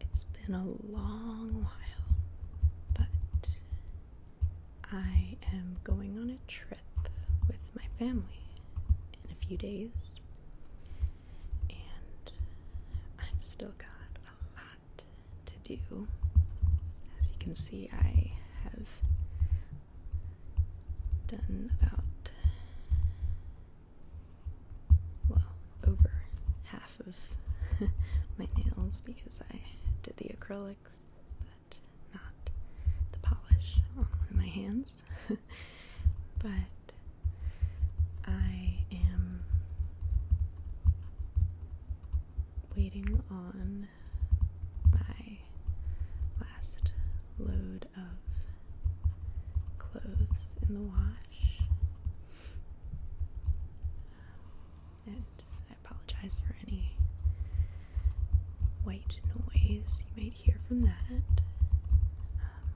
It's been a long while, but I am going on a trip with my family in a few days, and I've still got a lot to do. As you can see, I have done about, well, over half of my nails because I did the acrylics, but not the polish on one of my hands. but I am waiting on my last load of clothes in the wash. And I apologize for any white noise you might hear from that. Um,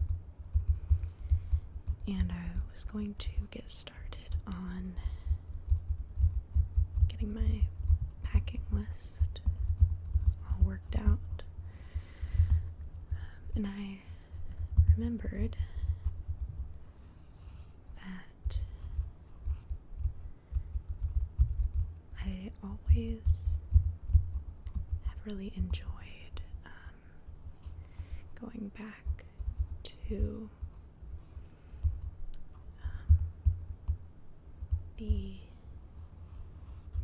and I was going to get started on getting my packing list all worked out. Um, and I remembered that I always have really enjoyed um, going back to um, the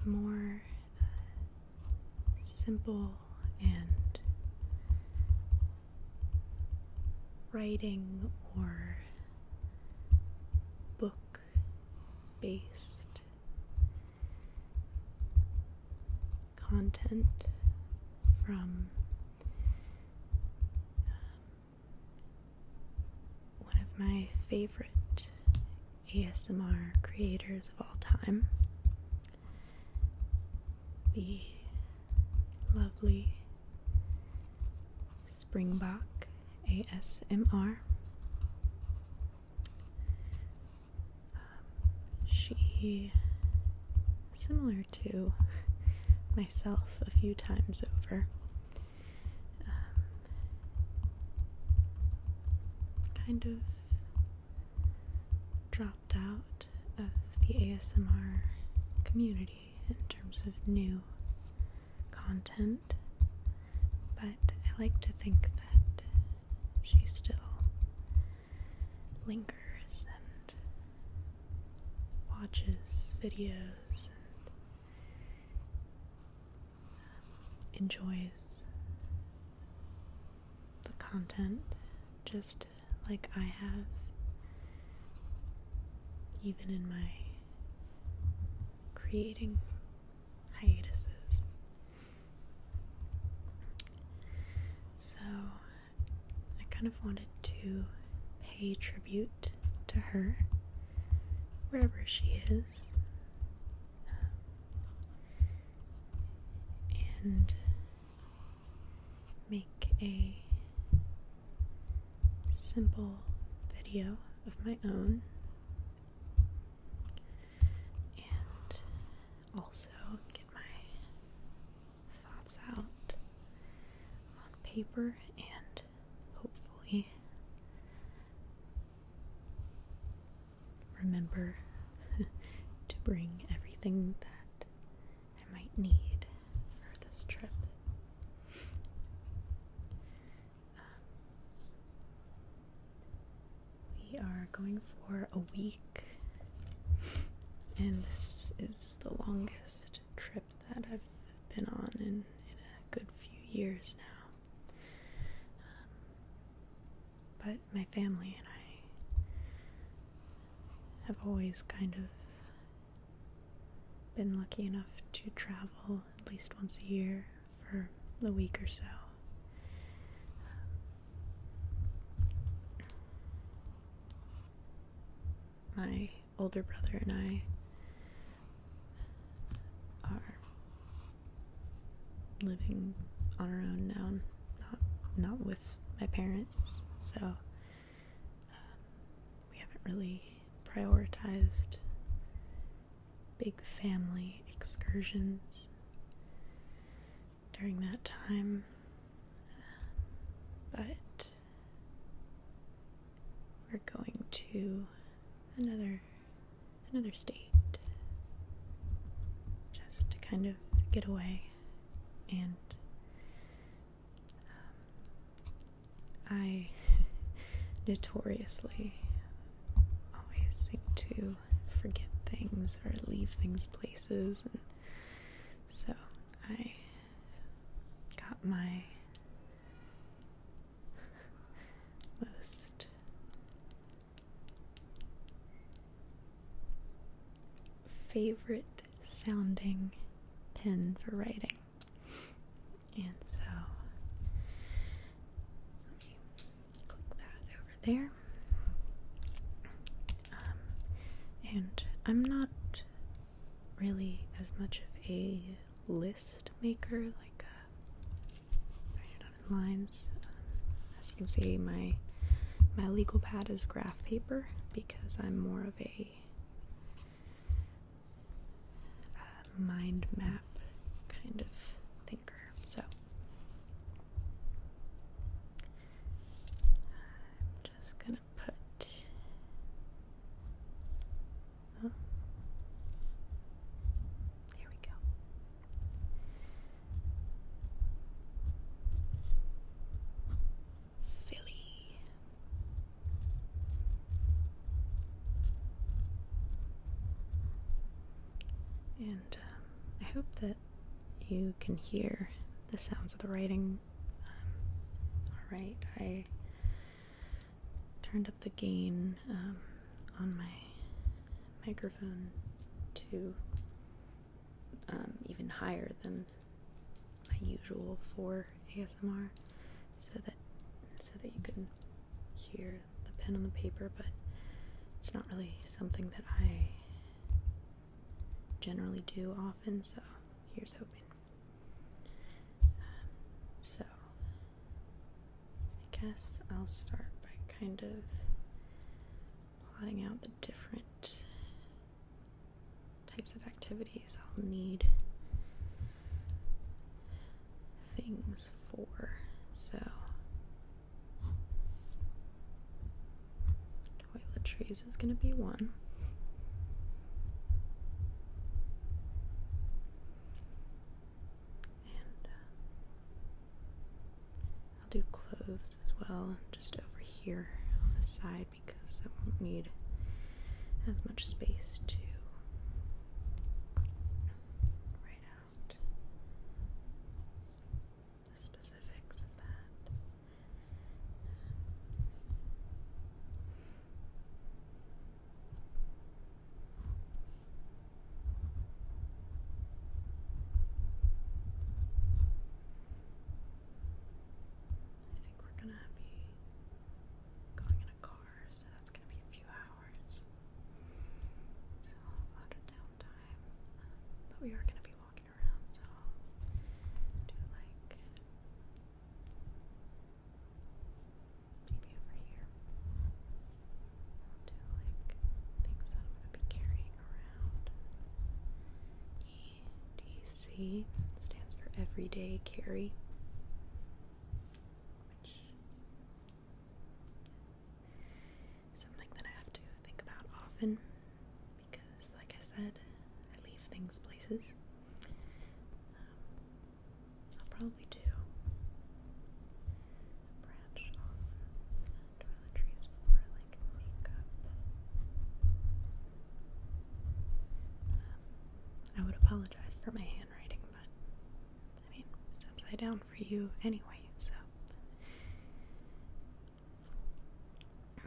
more uh, simple and writing or book based content from um, one of my favorite ASMR creators of all time, the lovely Springbok ASMR. Um, she, similar to myself a few times over. Um, kind of dropped out of the ASMR community in terms of new content, but I like to think that she still lingers watches videos and um, enjoys the content just like I have, even in my creating hiatuses. So I kind of wanted to pay tribute to her wherever she is. Um, and make a simple video of my own and also get my thoughts out on paper and hopefully remember to bring everything that I might need for this trip. we are going for a week, and this is the longest trip that I've been on in, in a good few years now. Um, but my family and I have always kind of been lucky enough to travel at least once a year for a week or so. Um, my older brother and I are living on our own now, not not with my parents. So um, we haven't really prioritized big family excursions during that time, but we're going to another another state just to kind of get away and um, I notoriously always seem to forget things or leave things places and so I got my most favorite sounding pen for writing. And so let me click that over there. Um, and I'm not really as much of a list maker, like uh, lines. Um, as you can see, my my legal pad is graph paper because I'm more of a uh, mind map kind of thinker. So I'm just gonna put. There we go. Philly. And um, I hope that you can hear the sounds of the writing um, all right, I turned up the gain um, on my microphone to um, even higher than my usual for ASMR, so that so that you can hear the pen on the paper, but it's not really something that I generally do often, so here's hoping so, I guess I'll start by kind of plotting out the different types of activities I'll need things for. So, trees is going to be one. And uh, I'll do clothes as well, just over here on the side because I won't need as much space to write out the specifics of that. I think we're gonna be going in a car, so that's gonna be a few hours. So a lot of downtime. but we are gonna be walking around, so do like Maybe over here. do like things that I'm going to be carrying around. EDC stands for Everyday Carry, which something that I have to think about often because like I said, I leave things places. Um, I'll probably do branch off toiletries for like makeup. Um, I would apologize for my handwriting, but I mean, it's upside down for you anyway, so. Um,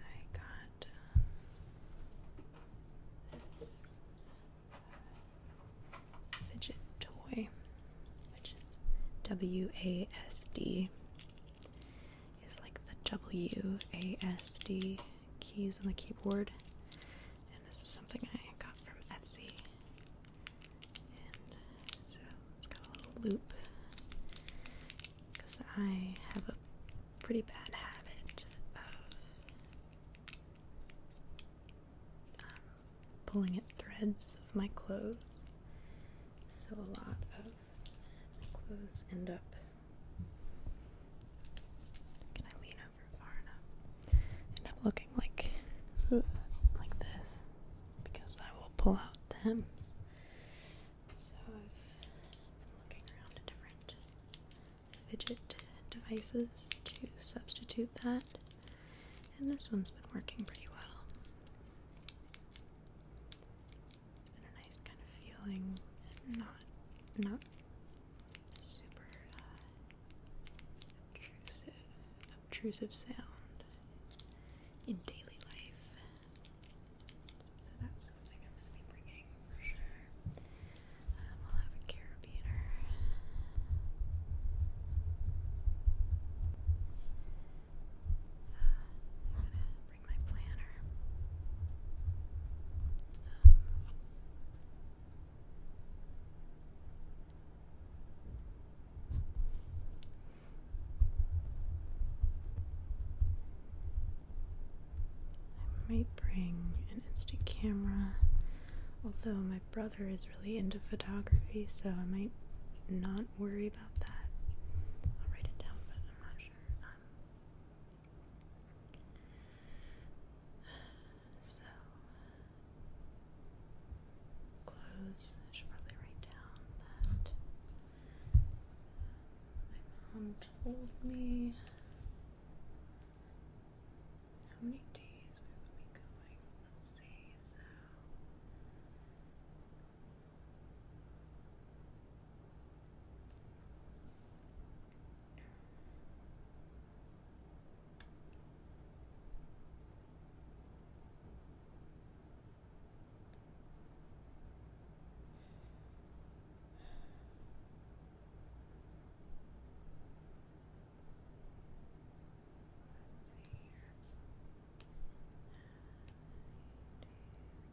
I got um, fidget toy, which is W A S D is like the WASD keys on the keyboard. And this is something I got from Etsy. so it's got a loop. Because I have a pretty bad habit of um, pulling at threads of my clothes. So a lot of my clothes end up. Can I lean over far enough? End up looking like like this because I will pull out the hems. So I've been looking around at different fidget devices to substitute that, and this one's been working pretty well. It's been a nice kind of feeling, and not not super uh, obtrusive, obtrusive sound in daily life. So that's something I'm going to be bringing for sure. Um, I'll have a carabiner. Uh, um, I might bring an instant camera, although my brother is really into photography, so I might not worry about that. I'll write it down, but I'm not um, so, clothes. I should probably write down that my mom told me how many days we would be going. Let's see. So. Let's see here. Nine days.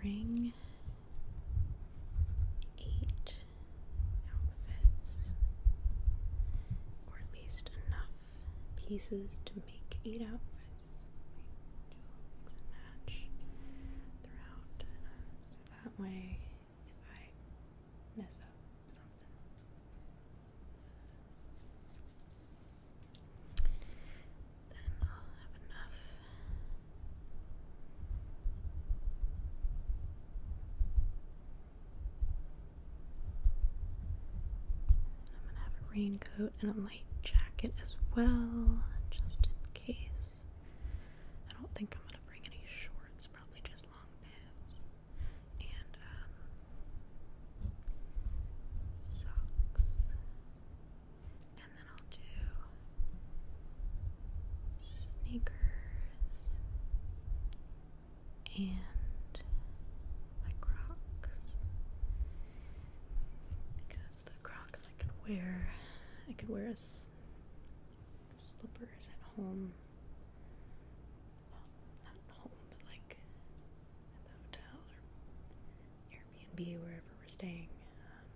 bring eight outfits, or at least enough pieces to make eight outfits. throughout, so that way, if I mess up something. Then I'll have enough and I'm gonna have a raincoat and a light jacket as well, just in case. I don't think I'm gonna bring any shorts, probably just long pants and um, socks and then I'll do sneakers and like Crocs because the Crocs I could wear, I could wear as slippers at home. not home, but like at the hotel or Airbnb, wherever we're staying, um,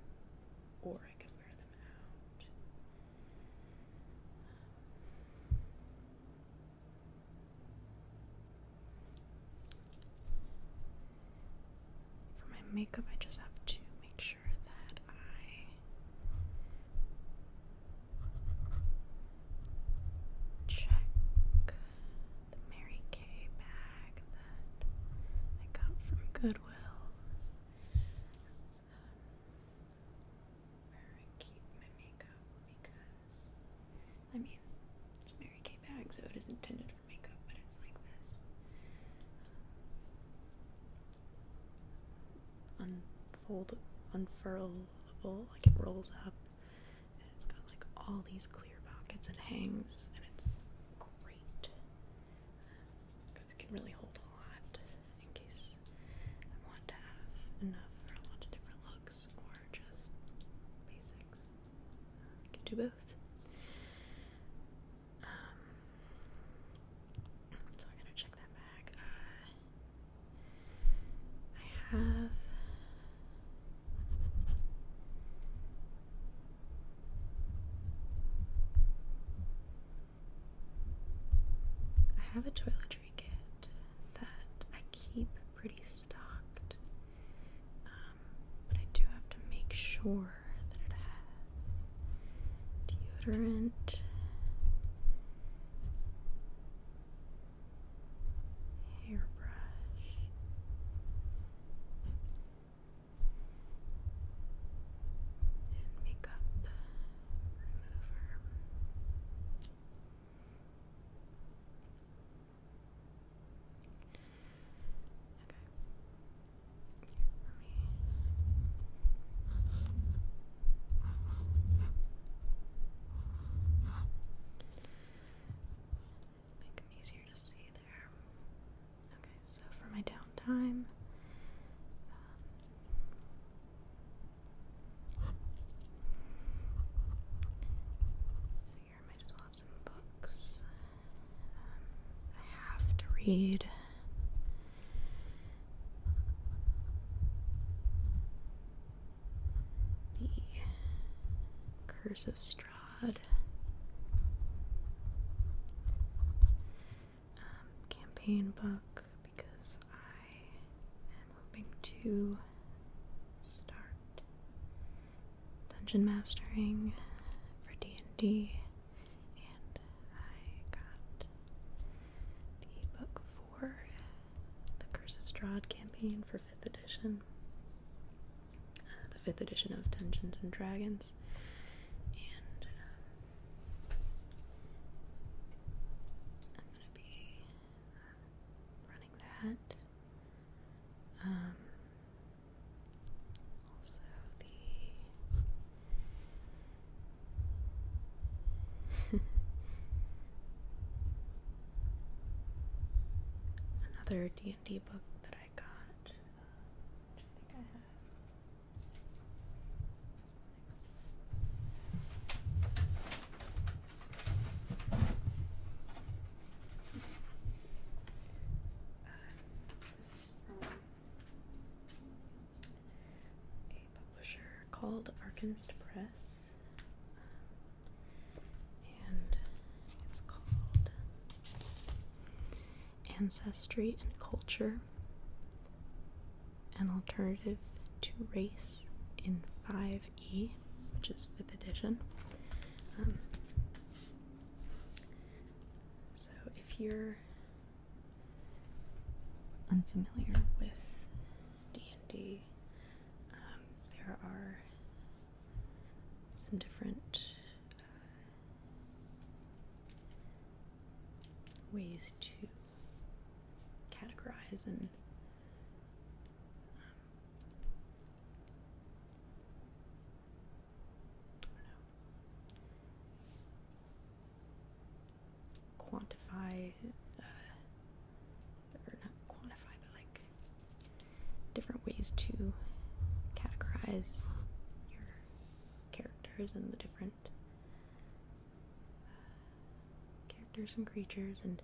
or for my makeup, I just have to make sure that I check the Mary Kay bag that I got from Goodwill where I keep my makeup because, I mean, it's Mary Kay bag, so it is intended for makeup, but it's like this. unfold, unfurlable, like it rolls up, and it's got like all these clear pockets and hangs, and it's great can really hold a lot in case I want to have enough for a lot of different looks or just basics. can do both. Um, so I gotta check that back. Uh, I have I have a toiletry kit that I keep pretty stocked, um, but I do have to make sure that it has deodorant. Hairbrush, and makeup remover. Okay. Make them easier to see there. Okay, so for my downtime, um, figure I might as well have some books. Um, I have to read. The Curse of Strahd. Um, campaign book because I am hoping to start dungeon mastering for D&D and I got the book for the Curse of Strahd campaign for 5th edition uh, the 5th edition of Dungeons and Dragons and um, I'm gonna be running that. Um, also the another D and D book that I got, uh, which I think I have. This is from a publisher called Arcanist Press, um, and it's called ancestry and culture, an alternative to race in 5e, which is 5th edition. Um, so if you're unfamiliar with D&D, um, there are some different ways to categorize and um, quantify uh, or not quantify but like different ways to categorize your characters and the different uh, characters and creatures, and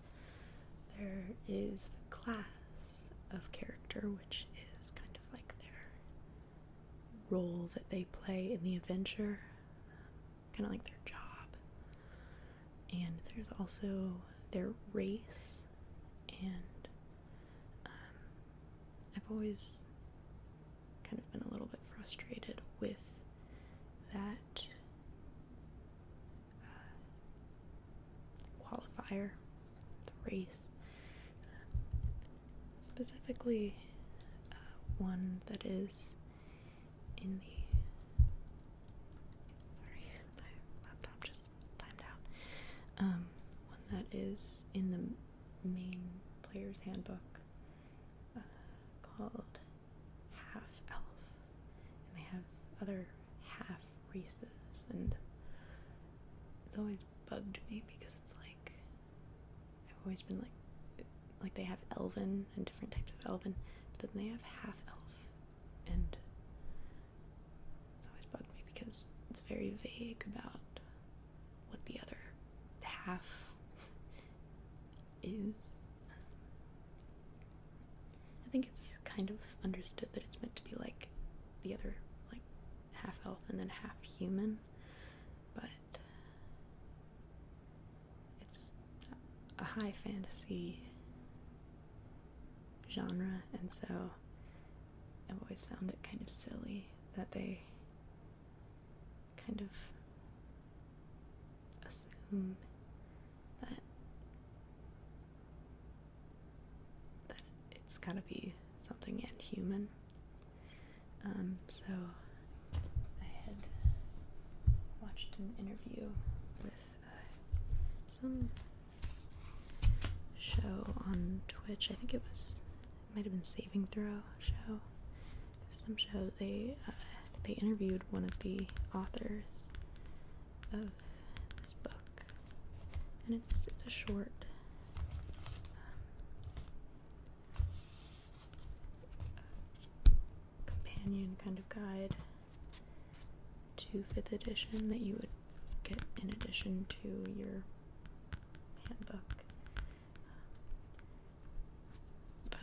there is the class of character, which is kind of like their role that they play in the adventure, um, kind of like their job. And there's also their race, and um, I've always kind of been a little bit frustrated with that uh, qualifier, the race. Specifically, uh, one that is in the Sorry, my laptop just timed out. Um, one that is in the main player's handbook uh, called Half Elf, and they have other half races, and it's always bugged me because it's like I've always been like, like they have elven and different types of elven, but then they have half elf, and it's always bugged me because it's very vague about what the other half is. I think it's kind of understood that it's meant to be like the other, like half elf and then half human, but it's a high fantasy genre, and so I've always found it kind of silly that they kind of assume that that it's gotta be something inhuman. Um, so I had watched an interview with uh, some show on Twitch. I think it was might have been Saving Throw show. Some show they uh, they interviewed one of the authors of this book, and it's it's a short. Um, companion kind of guide to fifth edition that you would get in addition to your handbook but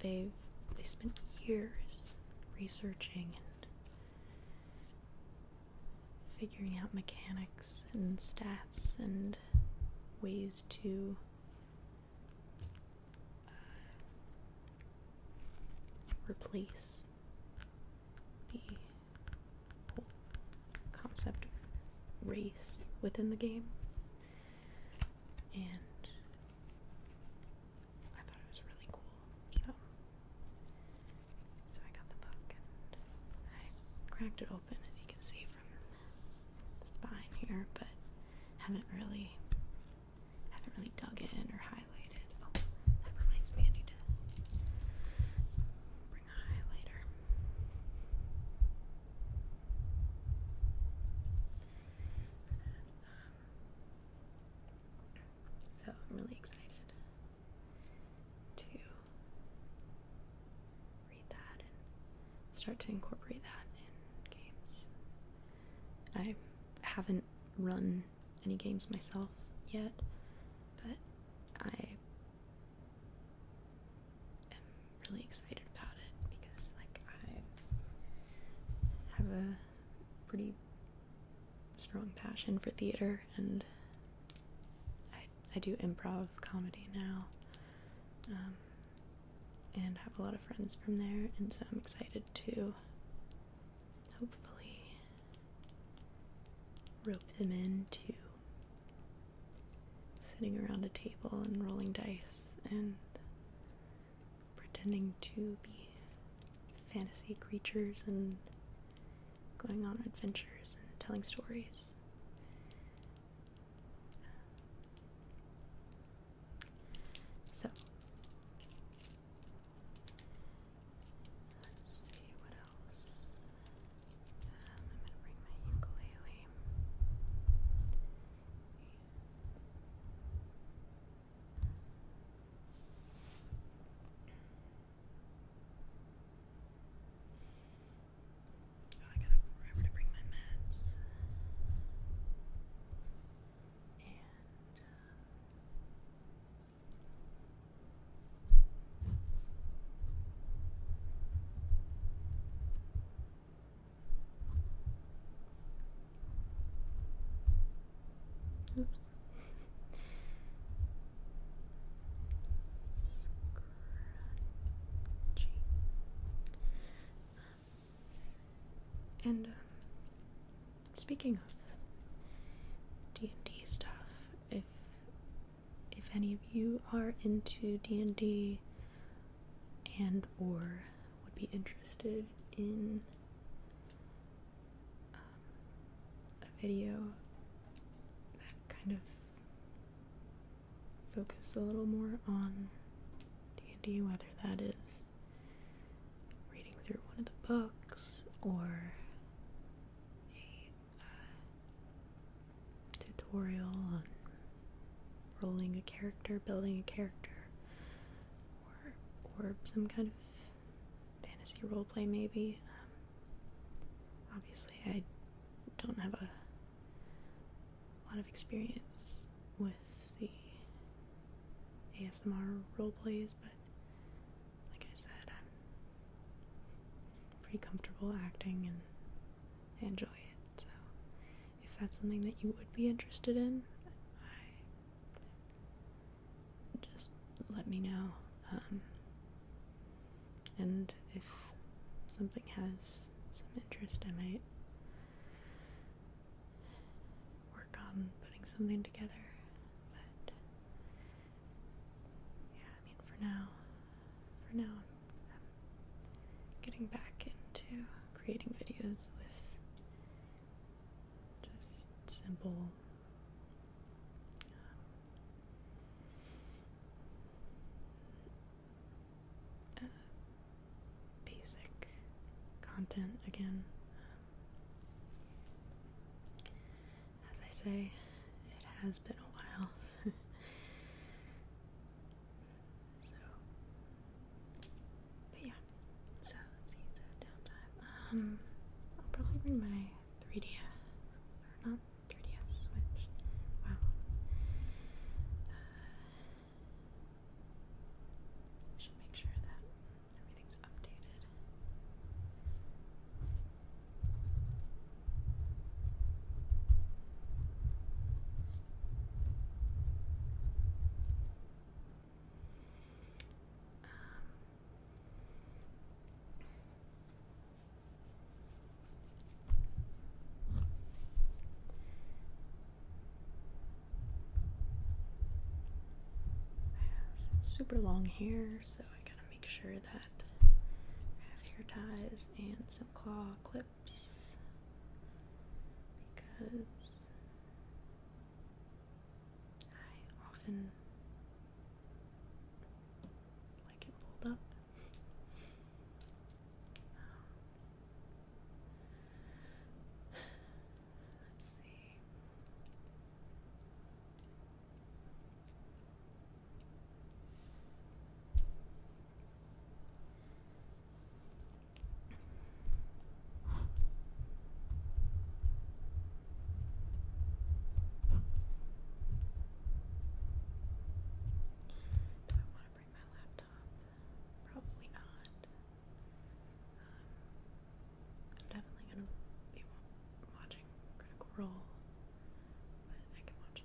they've they spent years researching and figuring out mechanics and stats and ways to uh, replace the concept of race within the game. And I thought it was really cool. So so I got the book and I cracked it open and you can see from the spine here, but haven't really haven't really dug in or highlighted. Oh, that reminds me I need to so I'm really excited to read that and start to incorporate that in games. I haven't run any games myself yet, but I i am really excited about it because, like, I have a pretty strong passion for theater and I, I do improv comedy now um, and have a lot of friends from there and so I'm excited to hopefully rope them in too sitting around a table and rolling dice and pretending to be fantasy creatures and going on adventures and telling stories. So let's see what else. Um, I'm gonna bring my ukulele. Oh, I gotta remember to bring my meds. And um, Oops. Scrunchy. And um, speaking of D and D stuff, if if any of you are into D&D and or would be interested in um, a video that kind of focuses a little more on D&D, whether that is reading through one of the books or tutorial on rolling a character, building a character, or, or some kind of fantasy roleplay, maybe. Um, obviously, I don't have a lot of experience with the ASMR roleplays, but like I said, I'm pretty comfortable acting and enjoy it. So, if that's something that you would be interested in, I just let me know. Um, and if something has some interest, I might work on putting something together. But yeah, I mean, for now, for now getting back into creating videos with just simple um, uh, basic content again. Um, as I say, it has been a while. So, but yeah. So let's see. So downtime. Um, I'll probably bring my 3DS or not 3DS Switch. Wow. Uh, should make sure that everything's updated. Um, super long hair, so I gotta make sure that. have hair ties and some claw clips because I often like it pulled up. Um, let's see. I want to bring my laptop? Probably not. Um, I'm definitely going to be watching Critical Role, but I can watch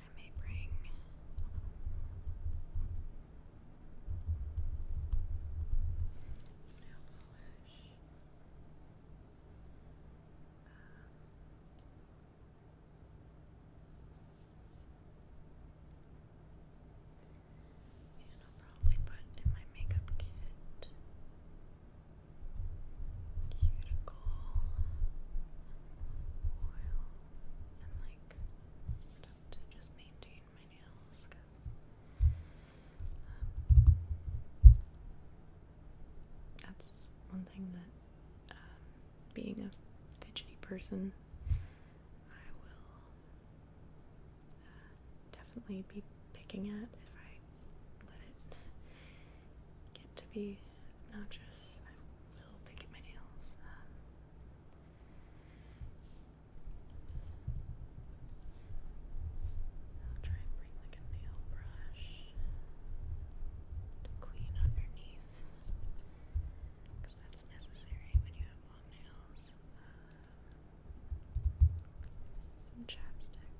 I may bring and probably put in my makeup kit cuticle oil and like stuff to just maintain my nails that's one thing that um, being a fidgety person I will definitely be picking at if I let it get to be obnoxious. I will pick at my nails. Um, I'll try and bring like a nail brush to clean underneath because that's necessary when you have long nails. Some chapstick.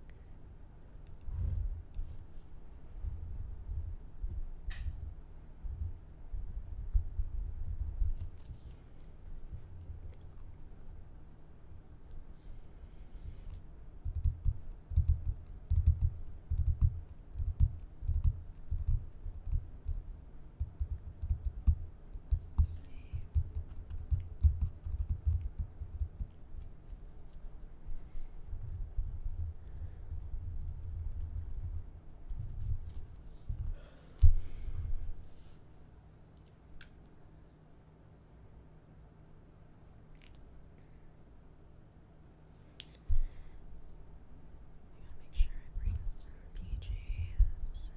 I gotta make sure I bring some PJs.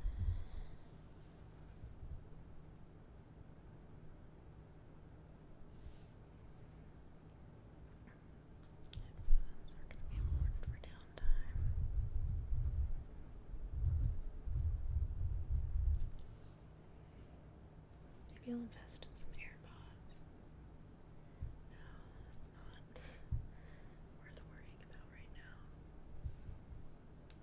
Maybe i will invest in some AirPods. No, that's not worth worrying about right now.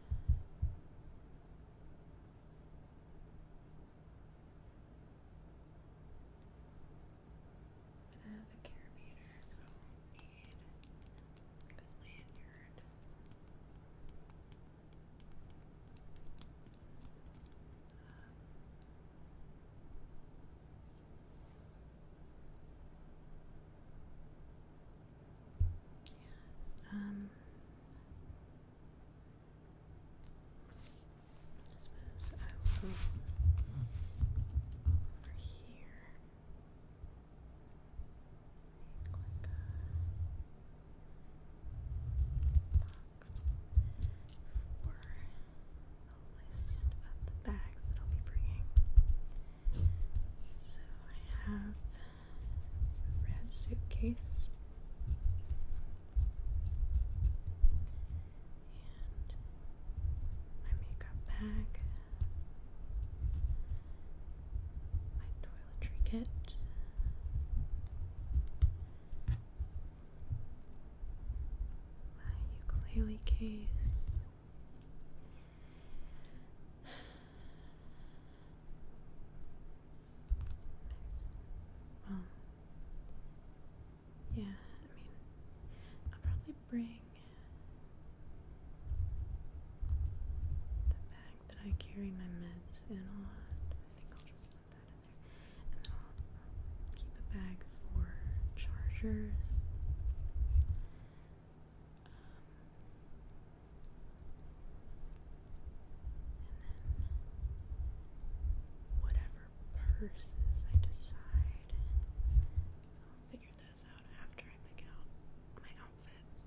I have a carabiner, so I won't need a lanyard. Um, um, I suppose I will go over here. Click box for a list of bags that I'll be bringing. So I have a red suitcase. And my makeup bag, my toiletry kit, my ukulele case, yeah, I mean, I'll probably bring the bag that I carry my meds in On, I think I'll just put that in there. And then I'll keep a bag for chargers. Um, then whatever purses I decide, I'll figure those out after I pick out my outfits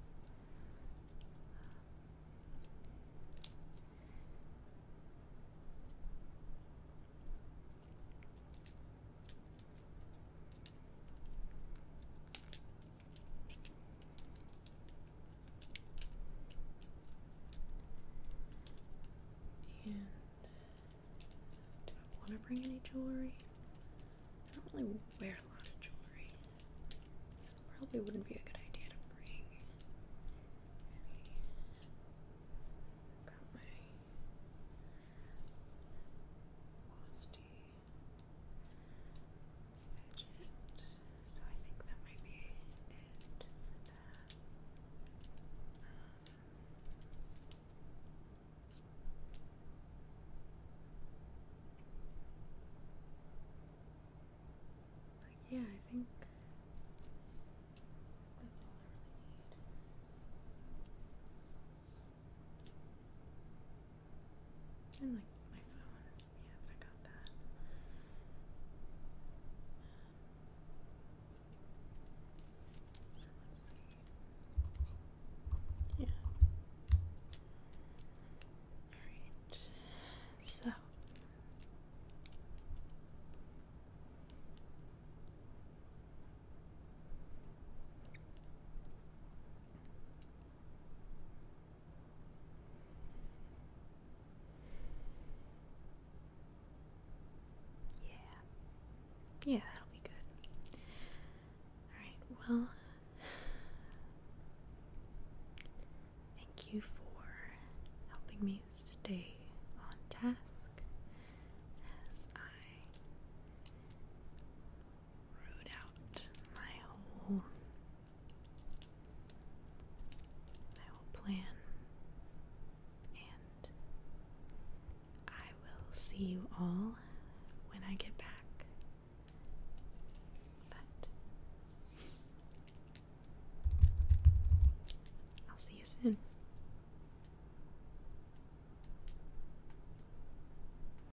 do I want to bring any jewelry? I don't really wear a lot of jewelry, so probably wouldn't be a good idea to bring Got my Frosty. So I think that might be it but yeah, I think that's all I really need. And like my phone. Yeah, but I got that. Yeah. Alright. So yeah. Yeah, that'll be good. Alright, well, thank you for helping me stay on task as I root out my whole my whole plan and I will see you all when I get back. But I'll see you soon.